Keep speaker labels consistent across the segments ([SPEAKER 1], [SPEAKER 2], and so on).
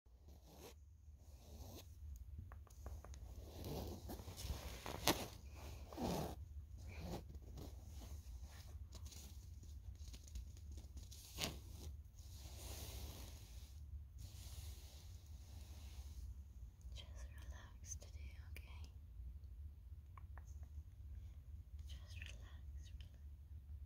[SPEAKER 1] Just relax today, okay? Just relax,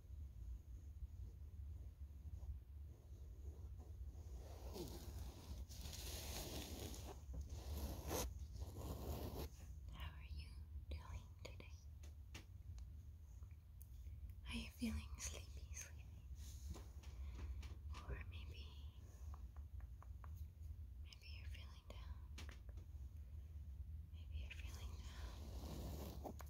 [SPEAKER 1] How are you doing today? Are you feeling sleepy, sleepy? Or maybe maybe you're feeling down. Maybe you're feeling down.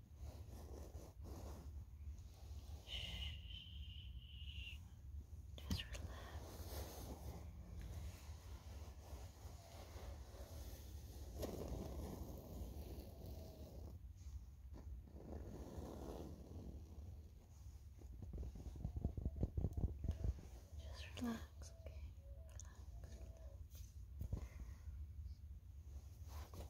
[SPEAKER 1] Just relax. Just relax, okay? Relax, relax.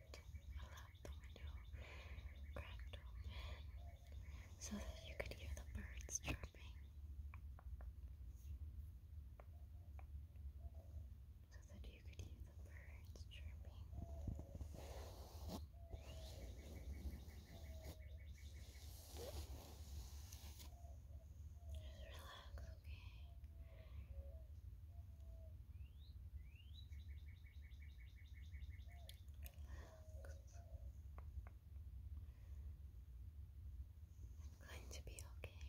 [SPEAKER 1] allowed the window cracked open so that you could hear the birds chirping. So that you could hear the birds chirping. Just relax, okay? going to It's going to be okay.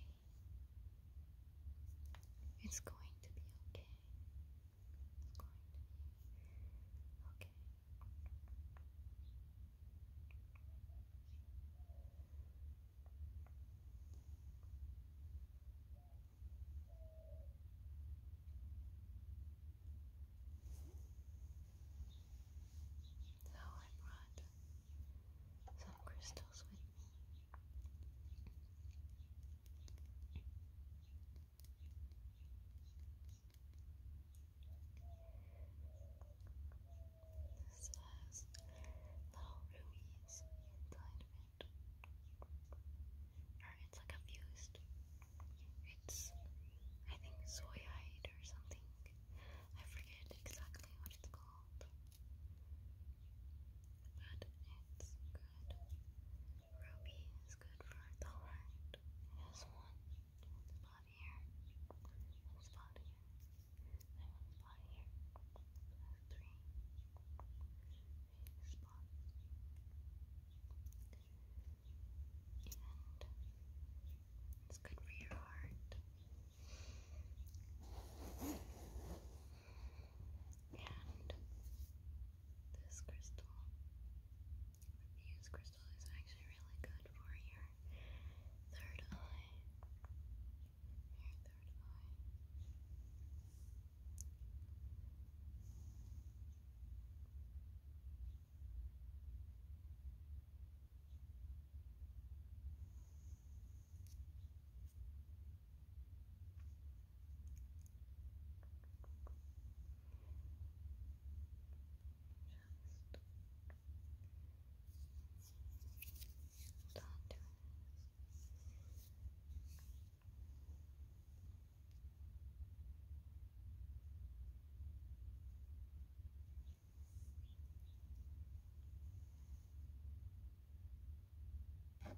[SPEAKER 1] It's going to be okay. So I brought some crystals with me. This has little rubies inside of or it's like a It's I think soyite or something. I forget exactly what it's called. But it's good. Ruby is good for the heart. It one, spot here, spot here, spot here. it's good for your heart. And this crystal, Muse crystal, is actually really good for your third eye your third Just start doing it's gonna clear that out.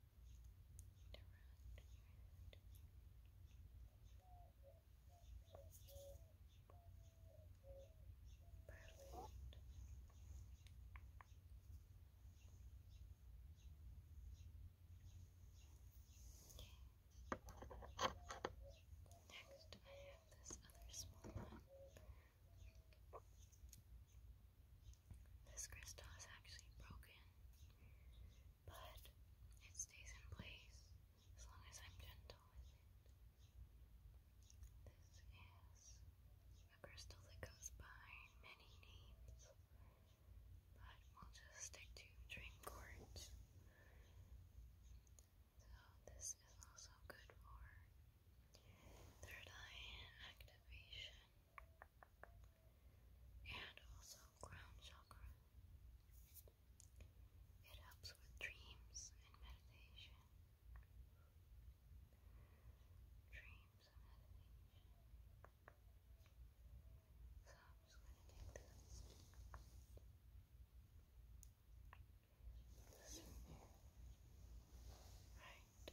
[SPEAKER 1] Next, I have this other small one. This crystal is actually broken but it stays in place as long as I'm gentle with it. This is a crystal that goes by many names, but we'll just stick to dream quartz. So this is also good for third eye activation and also crown chakra. It helps with dreams and meditation. Dreams and meditation. So I'm just going to take this. Right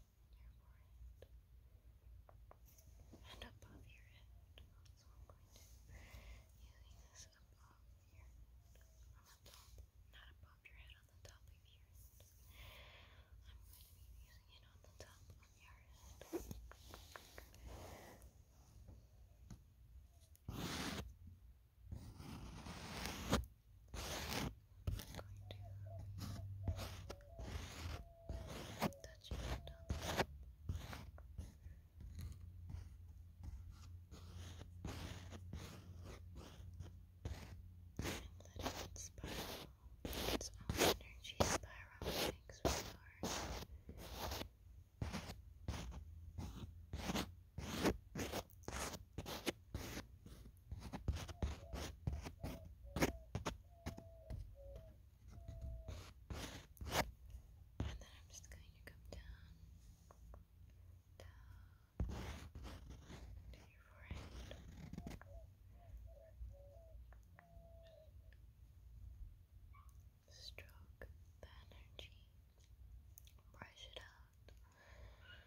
[SPEAKER 1] your forehead. And above your head this above your on the top, not above your head, on the top of your head. I'm going to be using it on the top of your head touch it on the top. And let it spiral its own energy spiral makes we are. Let and then I'm just going to come down, to your forehead. Stroke the energy. Brush it out. Brush it out.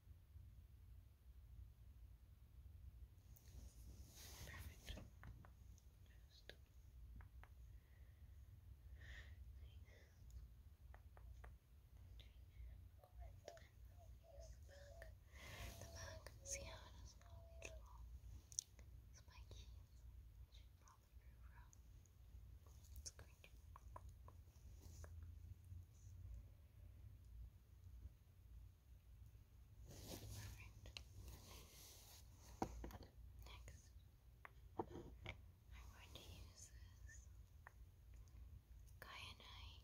[SPEAKER 1] Perfect. Just the back. See how it all these little spiky. Should probably move around. It's great. Next, I'm going to use this kyanite. Kyanite.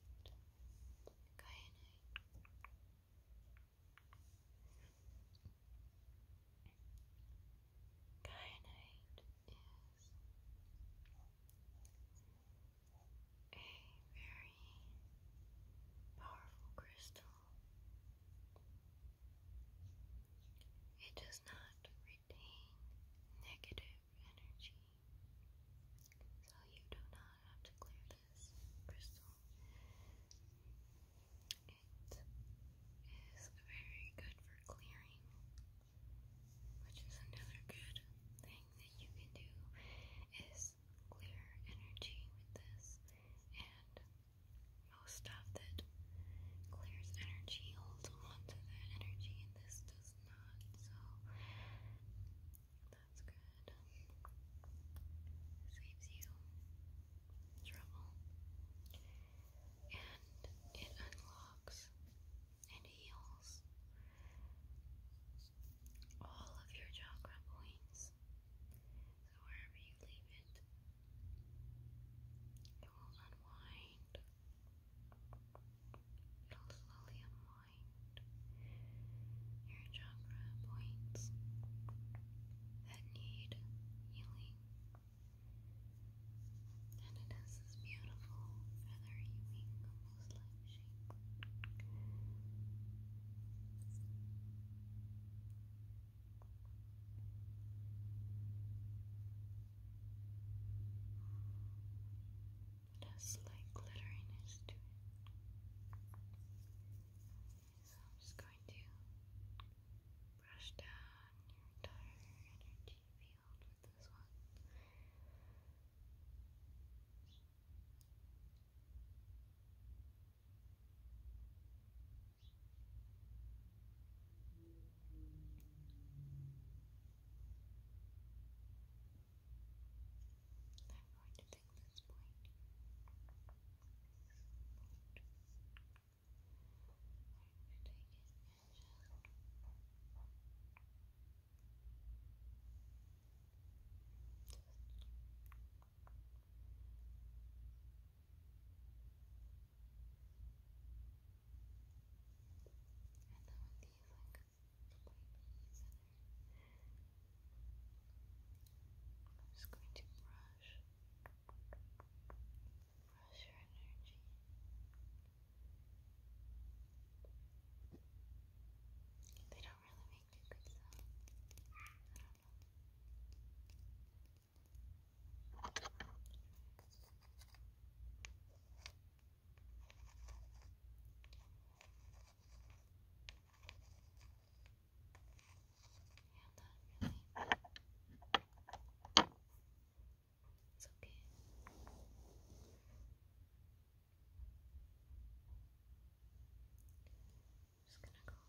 [SPEAKER 1] Kyanite is a very powerful crystal. It does not retain negative energy, so you do not have to clear this crystal. It is very good for clearing which is another good thing that you can do is clear energy with this and most stuff that clears energy holds on that energy and this does not so that's good saves you trouble and it unlocks and heals all of your chakra points. So wherever you leave it, it will unwind. It'll slowly unwind your chakra points that need healing. And it has this beautiful feathery wing, almost like shape. It has glitteriness to it. So I'm just going to brush down your entire energy field field with I'm going to take this point. I'm just going to brush, brush your energy. They don't really make good sound. I don't know. It's okay. just gonna go around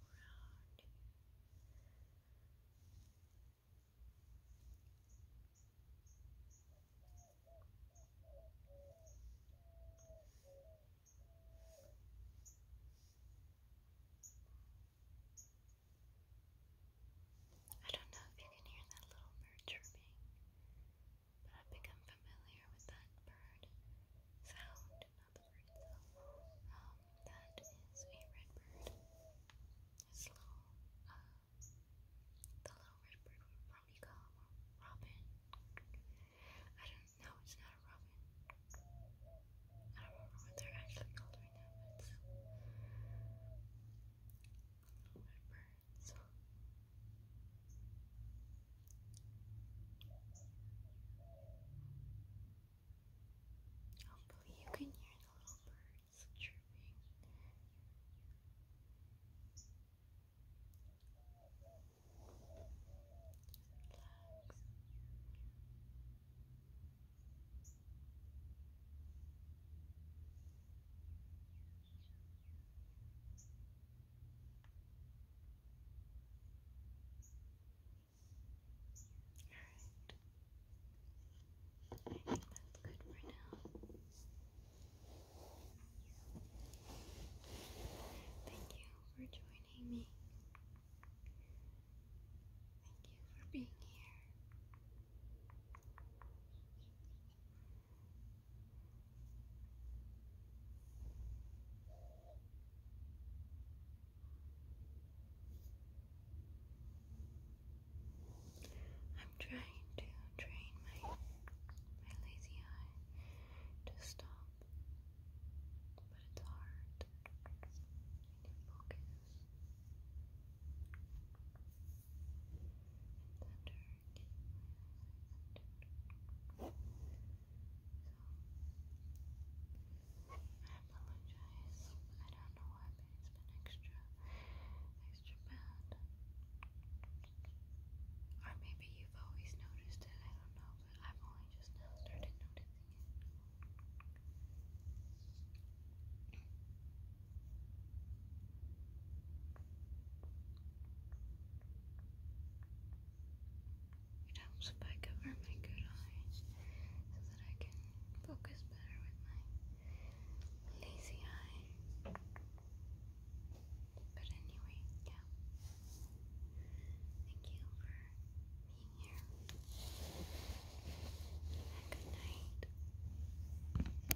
[SPEAKER 1] I don't know if you can hear that little bird chirping, but I've become familiar with that bird sound, not the bird itself. Um, that is a redbird. It's little, uh, the little redbird we probably call a robin. I don't know, it's not a robin. I don't remember what they're actually called right now, but it's a little redbird words. Hopefully, you can hear the little birds chirping. Relax. Relax. All right. I think that's good for now. Thank you for joining me. Thank you for being here. I'm trying to train my my lazy eye to stop, but it's hard. need focus don't know why, it's been extra, extra bad. Or maybe you've always noticed it, I don't know, but I've only just now started noticing it. It helps if cover my good eye so that I can focus better with my lazy eye. But anyway, yeah. Thank you for being here. good night.